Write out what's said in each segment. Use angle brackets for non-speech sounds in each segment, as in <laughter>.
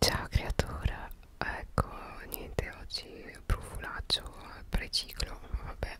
Ciao creatura, ecco niente oggi profulaccio preciclo, vabbè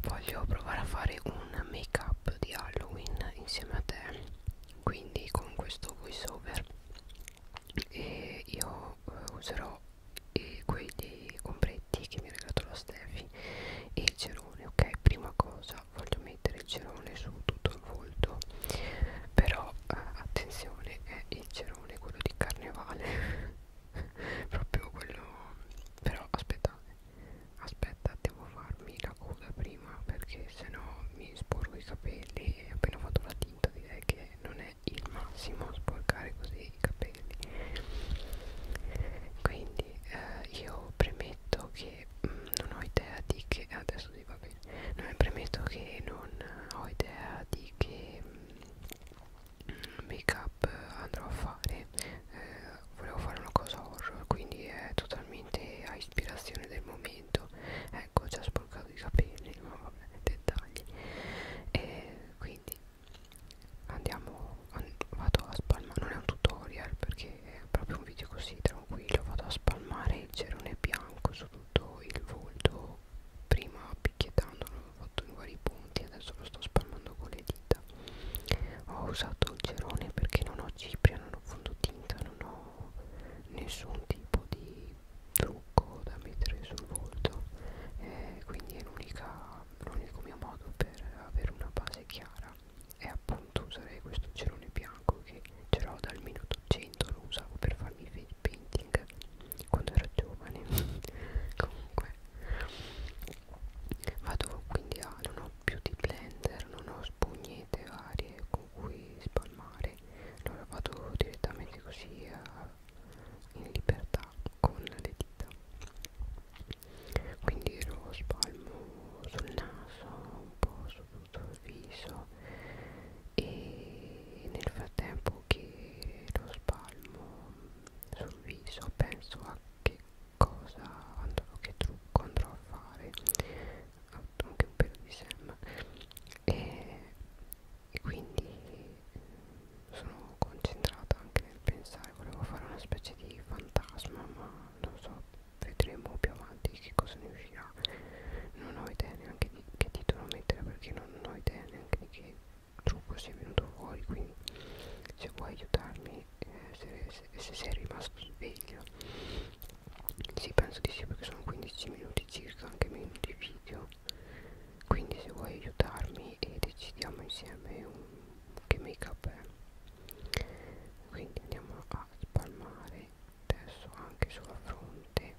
voglio provare a fare un make up di Halloween insieme a te quindi con questo voice over e io eh, userò eh, quei dei ombretti che mi ha regalato la Steffi e il cerone ok prima cosa voglio mettere il cerone su tutto il volto però eh, attenzione è eh, il cerone quello di carnevale <laughs> proprio quello però aspettate aspetta devo farmi la coda prima perché sennò mi sporco i capelli e appena ho fatto la tinta direi che non è il massimo sporcare così i capelli quindi eh, io premetto che che mh, mm, non ho idea di che adesso sì, va bene non mi premetto che non ho idea di che mh, mm, make up andrò a fare eh, volevo fare una cosa horror quindi è totalmente a ispirazione del momento ecco già sporcato i capelli ma vabbè dettagli e quindi andiamo an vado a spalmare non è un tutorial perché perché è proprio un video così tranquillo vado a spalmare il cerone bianco su tutto il volto prima picchiettandolo ho fatto in vari punti adesso lo sto spalmando con le dita ho usato il cerone perché non ho cipria non ho fondotinta non ho nessun tipo di trucco da mettere sul volto eh, quindi è l'unico mio modo per avere una base chiara e appunto userei questo cerone bianco che ce l'ho dal minuto 100 lo usavo per farmi i face painting quando ero giovane <laughs> comunque vado quindi a non ho più di blender non ho spugnette varie con cui spalmare allora vado direttamente così a, eh, in libertà con le dita quindi lo spalmo sul naso un po' su venuto al viso e nel frattempo che lo spalmo sul viso penso a che cosa andrò, che trucco andrò a fare anche un pelo di Sam e, e quindi sono concentrata anche nel pensare volevo fare una specie di fantasma ma non so vedremo più avanti che cosa ne uscirà non ho idea neanche di che titolo mettere perché non ho idea neanche di che trucco sia venuto fuori quindi se vuoi aiutarmi eh, se, se, se sei rimasto sveglio sì penso di sì perché sono 15 minuti circa anche meno di video quindi se vuoi aiutarmi e decidiamo insieme un, che make up è quindi andiamo a a spalmare adesso anche sulla fronte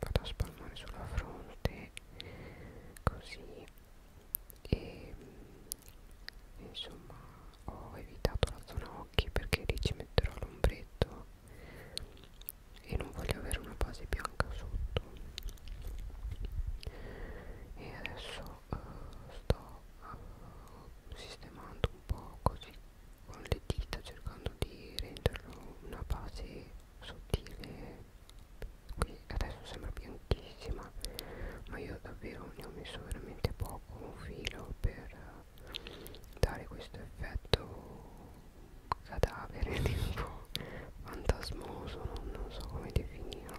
vado a spalmare sulla fronte così e mm, insomma ho evitato la zona occhi perché lì ci metterò l'ombretto e non voglio avere una base bianca sotto e adesso uh, sto uh, sistemando un po' così con le dita cercando di renderlo una base sottile qui adesso sembra bianchissima ma io davvero ne ho messo veramente poco un filo per eh, dare questo effetto cadavere <laughs> tipo fantasmoso non, non so come definirla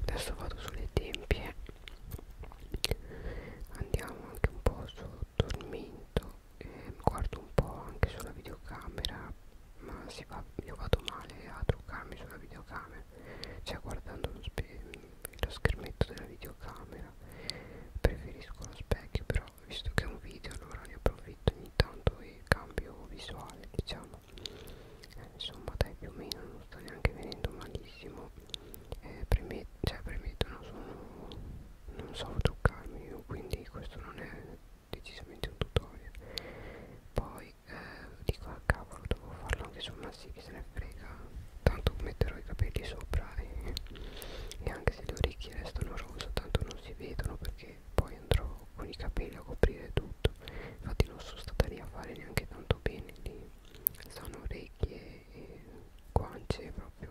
adesso vado sulle tempie andiamo anche un po' sul tormento eh, guardo un po' anche sulla videocamera ma si va, io vado male a truccarmi sulla videocamera cioè guardando lo, lo schermetto della videocamera preferisco lo specchio però visto che è un video allora ne approfitto ogni tanto e cambio visuale diciamo eh, insomma dai più o meno non sta neanche venendo malissimo eh, preme cioè premetto non sono non so truccarmi io quindi questo non è decisamente un tutorial poi eh, dico a ah, cavolo devo farlo anche su massi che se ne frega tanto metterò i capelli sopra e, e anche se le orecchie restano rosa tanto non si vedono perché poi andrò con i capelli a coprire tutto infatti non sono stata lì a fare neanche tanto bene lì sono orecchie e guance proprio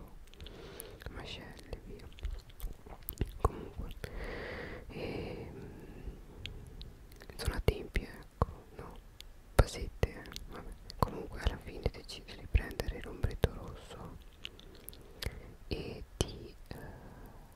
mascelle via comunque e, ehm, sono a tempi ecco no pasette eh. Vabbè. comunque alla fine decido di prendere l'ombretto rosso e di eh,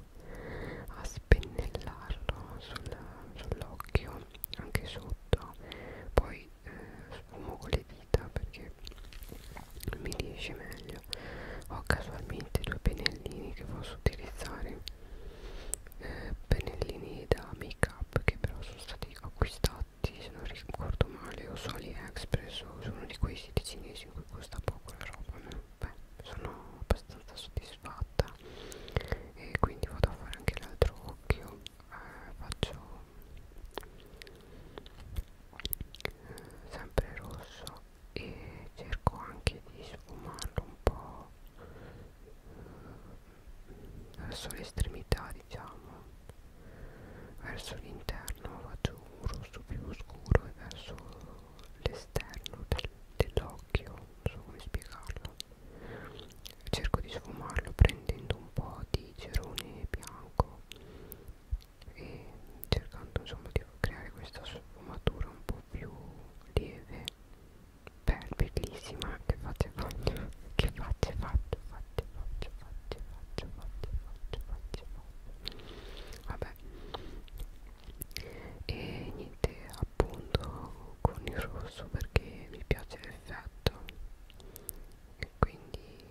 a spennellarlo sull'occhio sull anche sotto poi eh, sfumo con le dita perché mi riesce meglio ho casualmente due pennellini che posso utilizzare eh, pennellini da make up che però sono stati acquistati se non ricordo male o soli express o su uno di quei siti cinesi in cui costa poco la roba a me beh, sono abbastanza soddisfatta e quindi vado a fare anche l'altro occhio eh, faccio eh, sempre rosso e cerco anche di sfumarlo un po' eh, verso l'estremità diciamo verso l'interno faccio un rosso più scuro e verso l'esterno del, dell'occhio non so come spiegarlo cerco di sfumarlo prendendo un po' di cerone bianco e cercando insomma di creare questa sfumatura un po' più lieve Beh, bellissima che faccia faccio che faccia faccio faccio faccio faccio faccio faccio faccio faccio faccio vabbè e niente appunto con il rosso perché mi piace l'effetto e quindi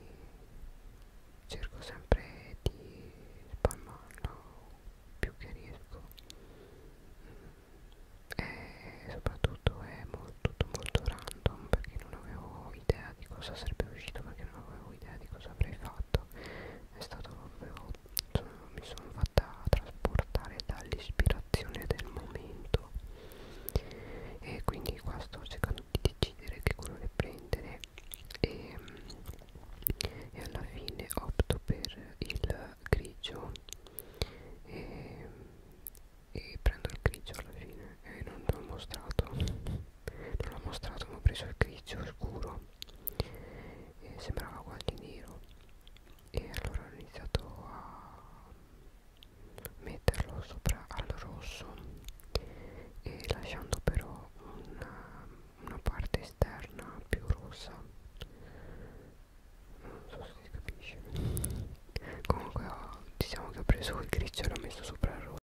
cerco sempre di spalmarlo più che riesco e soprattutto è molto molto random perché non avevo idea di cosa sarebbe uscito perché non avevo idea di cosa avrei fatto è stato proprio sono, mi sono fatta trasportare dall'ispirazione del momento e quindi qua sto cercando di decidere che colore prendere e, e alla fine opto per il grigio e, e prendo il grigio alla fine e non l'ho mostrato non l'ho mostrato ma ho preso il grigio scuro e sembrava quasi nero e allora ho iniziato a metterlo sopra al rosso e lasciando però una, una parte esterna più rossa non so se si capisce comunque ho, oh, diciamo che ho preso il grigio e l'ho messo sopra il rosso